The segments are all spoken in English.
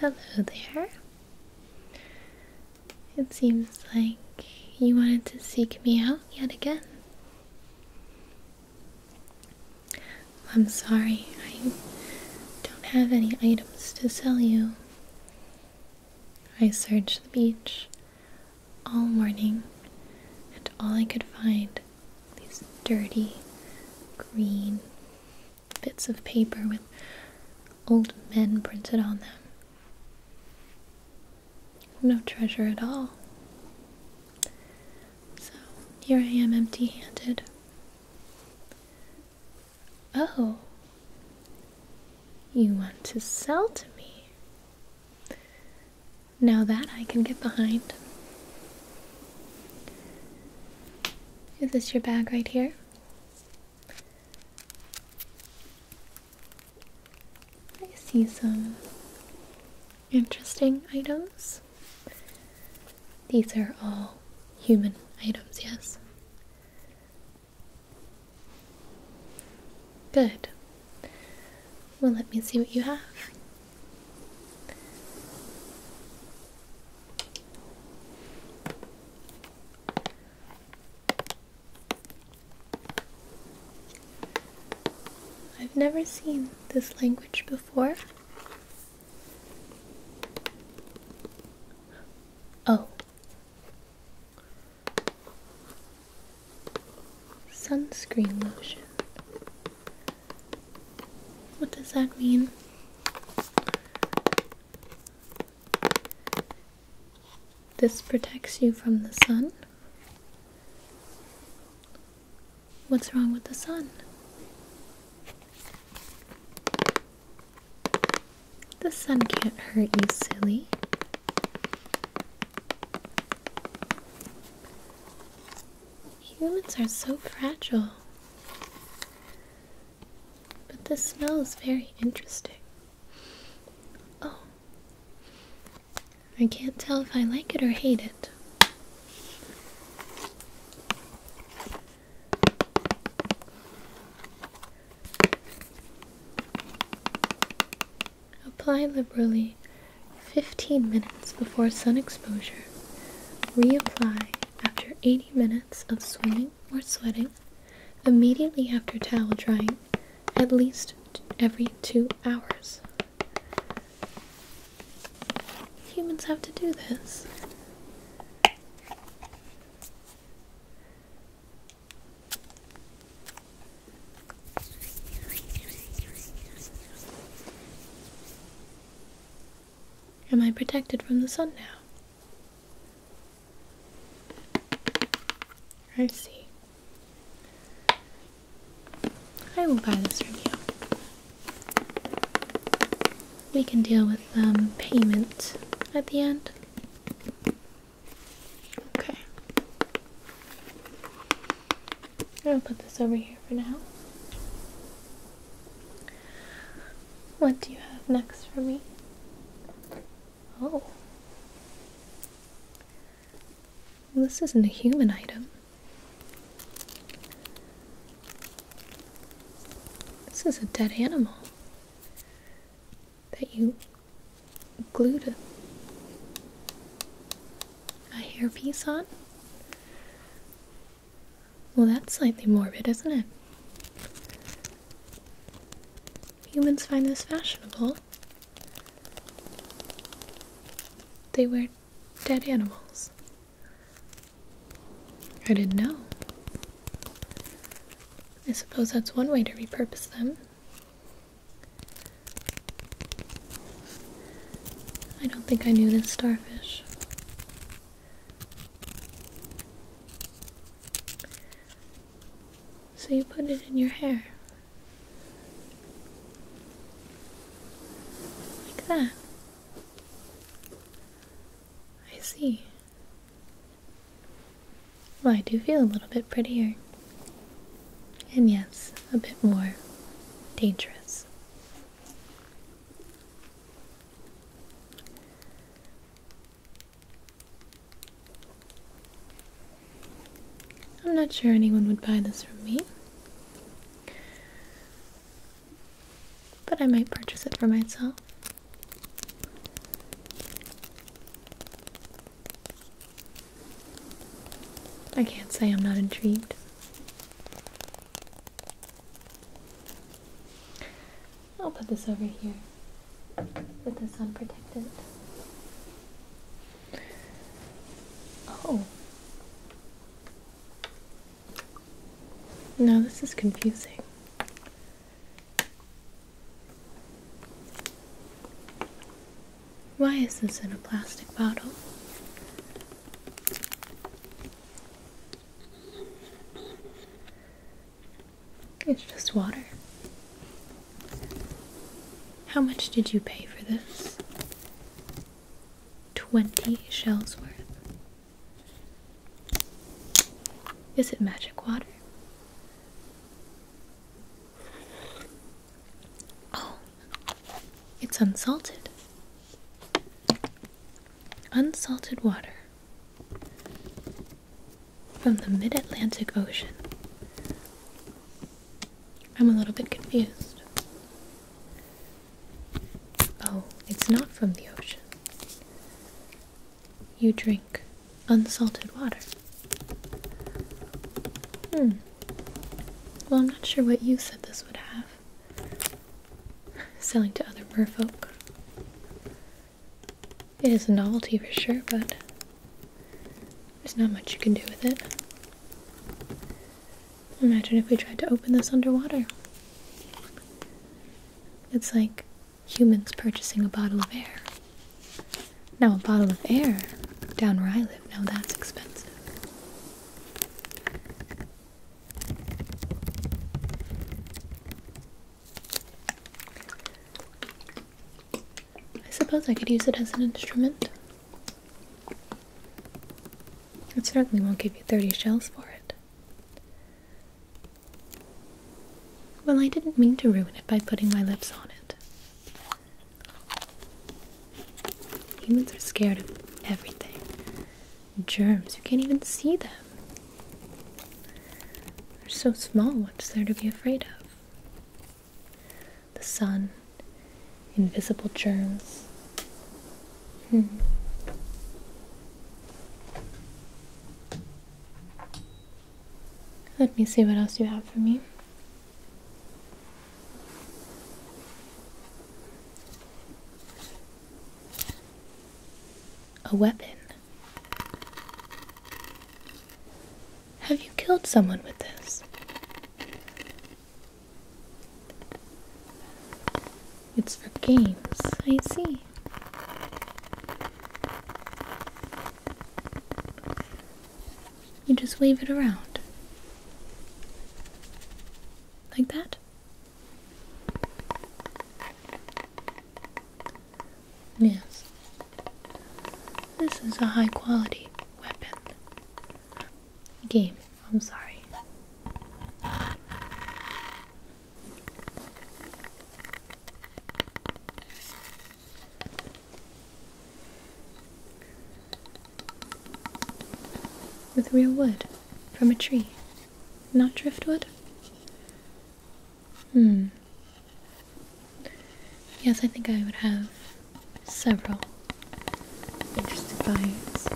Hello there. It seems like you wanted to seek me out yet again. I'm sorry, I don't have any items to sell you. I searched the beach all morning, and all I could find these dirty, green, bits of paper with old men printed on them. No treasure at all. So here I am empty handed. Oh, you want to sell to me? Now that I can get behind. Is this your bag right here? I see some interesting items. These are all human items, yes. Good. Well, let me see what you have. I've never seen this language before. Oh. Sunscreen lotion. What does that mean? This protects you from the sun. What's wrong with the sun? The sun can't hurt you, silly. Humans are so fragile. But the smell is very interesting. Oh. I can't tell if I like it or hate it. Apply liberally 15 minutes before sun exposure. Reapply after 80 minutes of swimming or sweating, immediately after towel drying, at least every two hours. Humans have to do this. Am I protected from the sun now? I see. I will buy this from you. We can deal with the um, payment at the end. Okay. I'll put this over here for now. What do you have next for me? Oh. This isn't a human item. This is a dead animal that you glued a hairpiece on. Well, that's slightly morbid, isn't it? Humans find this fashionable. They wear dead animals. I didn't know. I suppose that's one way to repurpose them. I don't think I knew this starfish. So you put it in your hair. Like that. I see. Well, I do feel a little bit prettier. And yes, a bit more dangerous. I'm not sure anyone would buy this from me. But I might purchase it for myself. I can't say I'm not intrigued. I'll put this over here with this unprotected. Oh. Now this is confusing. Why is this in a plastic bottle? It's just water. How much did you pay for this? 20 shells worth. Is it magic water? Oh, it's unsalted. Unsalted water from the mid Atlantic Ocean. I'm a little bit confused. Oh, it's not from the ocean. You drink unsalted water. Hmm. Well, I'm not sure what you said this would have. Selling to other merfolk. It is a novelty for sure, but there's not much you can do with it. Imagine if we tried to open this underwater. It's like humans purchasing a bottle of air. Now, a bottle of air down where I live, now that's expensive. I suppose I could use it as an instrument. It certainly won't give you 30 shells for it. Well, I didn't mean to ruin it by putting my lips on it. Humans are scared of everything. Germs, you can't even see them. They're so small, what's there to be afraid of? The sun, invisible germs. Hmm. Let me see what else you have for me. A weapon. Have you killed someone with this? It's for games, I see. You just wave it around. Like that? Yes. This is a high quality weapon. Game, I'm sorry. With real wood from a tree, not driftwood. Hmm. Yes, I think I would have several interested bites.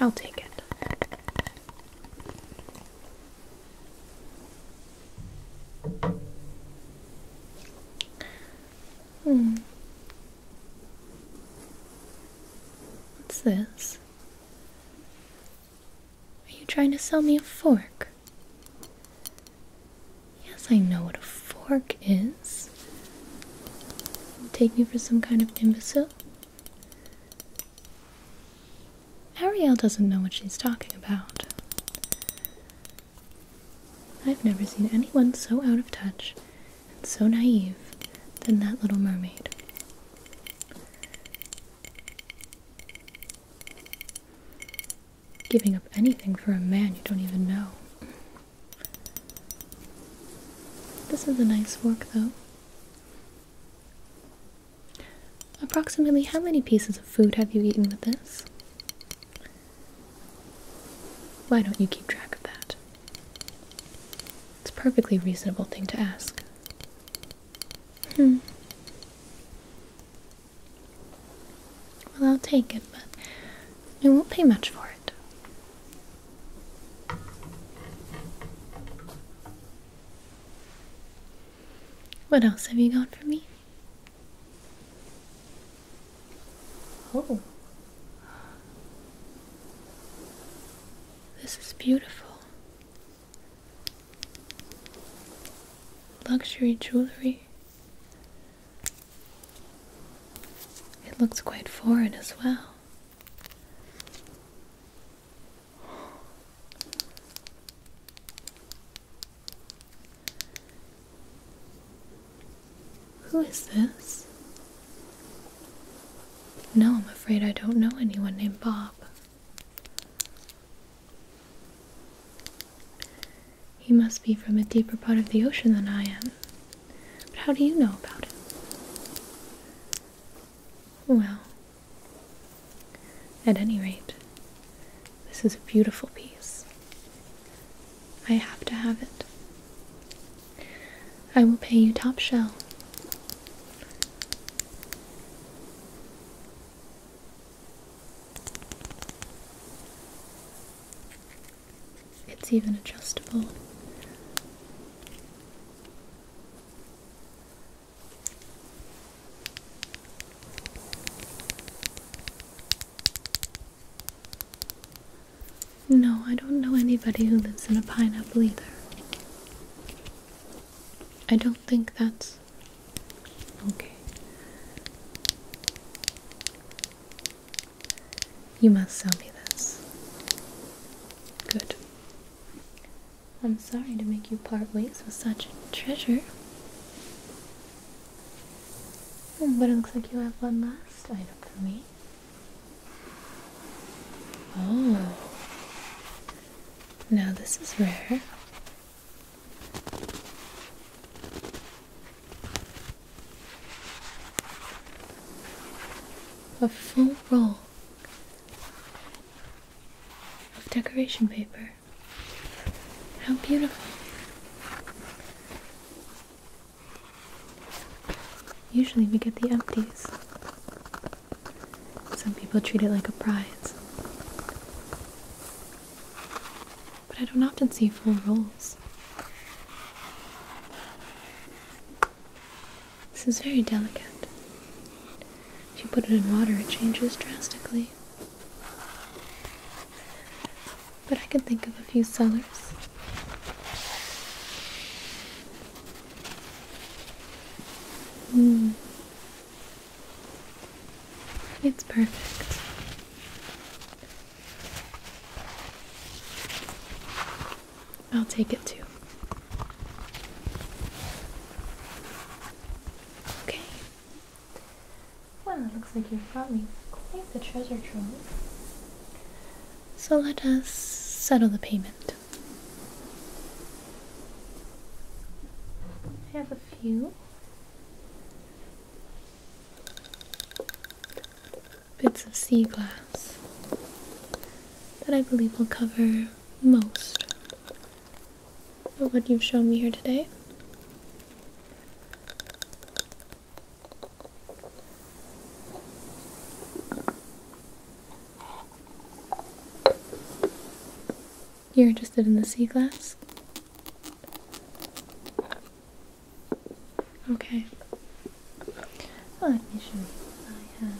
I'll take it. Hmm. What's this? Are you trying to sell me a fork? Yes, I know what a fork is. take me for some kind of imbecile? Ariel doesn't know what she's talking about. I've never seen anyone so out of touch and so naive than that little mermaid. Giving up anything for a man you don't even know. This is a nice fork, though. Approximately how many pieces of food have you eaten with this? Why don't you keep track of that? It's a perfectly reasonable thing to ask. Hmm. Well, I'll take it, but it won't pay much for it. What else have you got for me? Oh. This is beautiful. Luxury jewelry. It looks quite foreign as well. Who is this? No, I'm afraid I don't know anyone named Bob. He must be from a deeper part of the ocean than I am. But how do you know about him? Well, at any rate, this is a beautiful piece. I have to have it. I will pay you top shell. It's even adjustable. No, I don't know anybody who lives in a pineapple either. I don't think that's okay. You must sell me this. Good. I'm sorry to make you part ways with such a treasure. Hmm, but it looks like you have one last item for me. Oh. Now this is rare. A full roll of decoration paper. How beautiful. Usually we get the empties. Some people treat it like a prize. But I don't often see full rolls. This is very delicate. If you put it in water, it changes drastically but I can think of a few sellers. Hmm. It's perfect. I'll take it too. Okay, well, it looks like you've brought me quite the treasure trove. So let us settle the payment. I have a few bits of sea glass that I believe will cover most of what you've shown me here today. You're interested in the sea glass? Okay. Well, let me show you. I have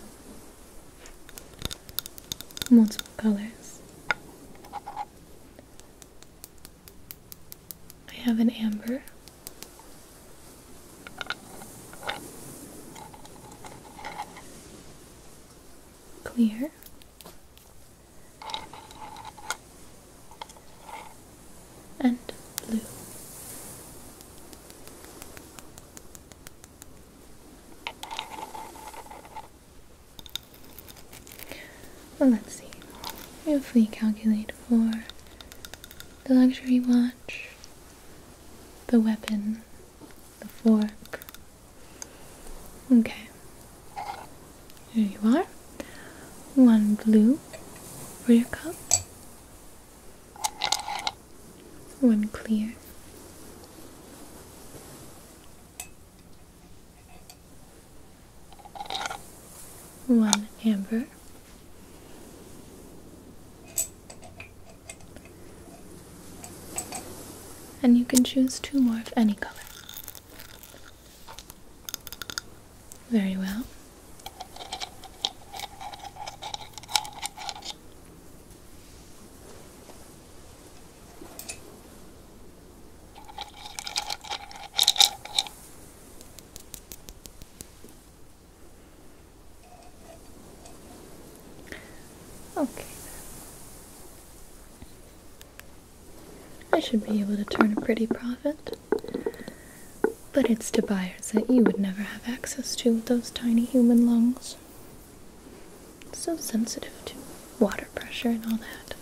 multiple colors. I have an amber. Clear. And blue. Well, let's see if we calculate for the luxury watch, the weapon, the fork. Okay. Here you are. One blue for your cup. One clear one amber, and you can choose two more of any color. Very well. Okay. I should be able to turn a pretty profit. But it's to buyers that you would never have access to those tiny human lungs. So sensitive to water pressure and all that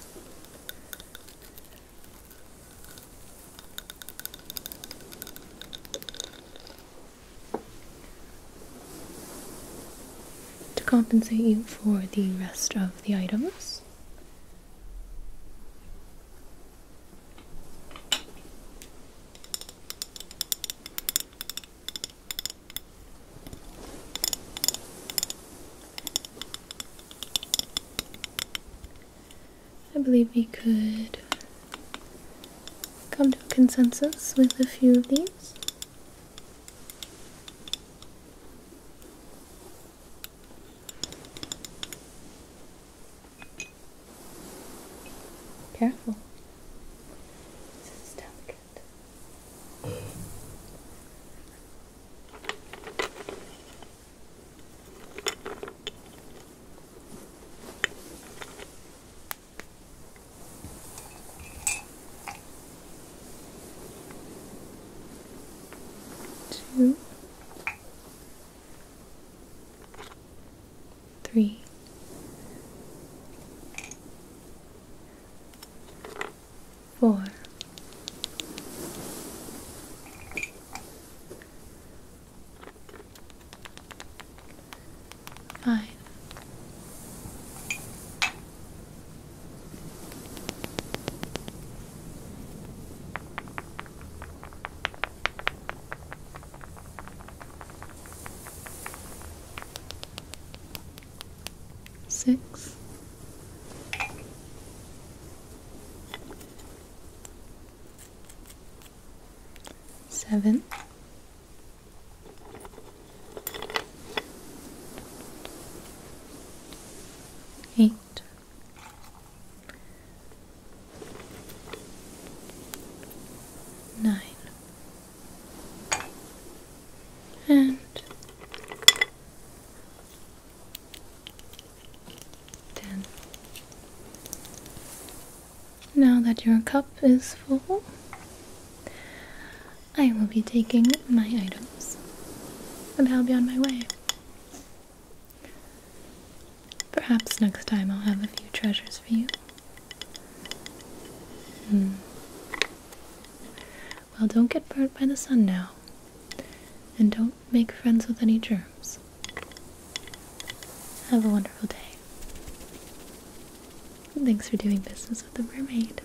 to compensate you for the rest of the items. I believe we could come to a consensus with a few of these. Careful. This is delicate. Two, three, four, Fine. Six seven, eight, nine, and Ten. Now that your cup is full, I will be taking my items, and I'll be on my way. Perhaps next time I'll have a few treasures for you. Hmm. Well, don't get burnt by the sun now, and don't make friends with any germs. Have a wonderful day. thanks for doing business with the mermaid.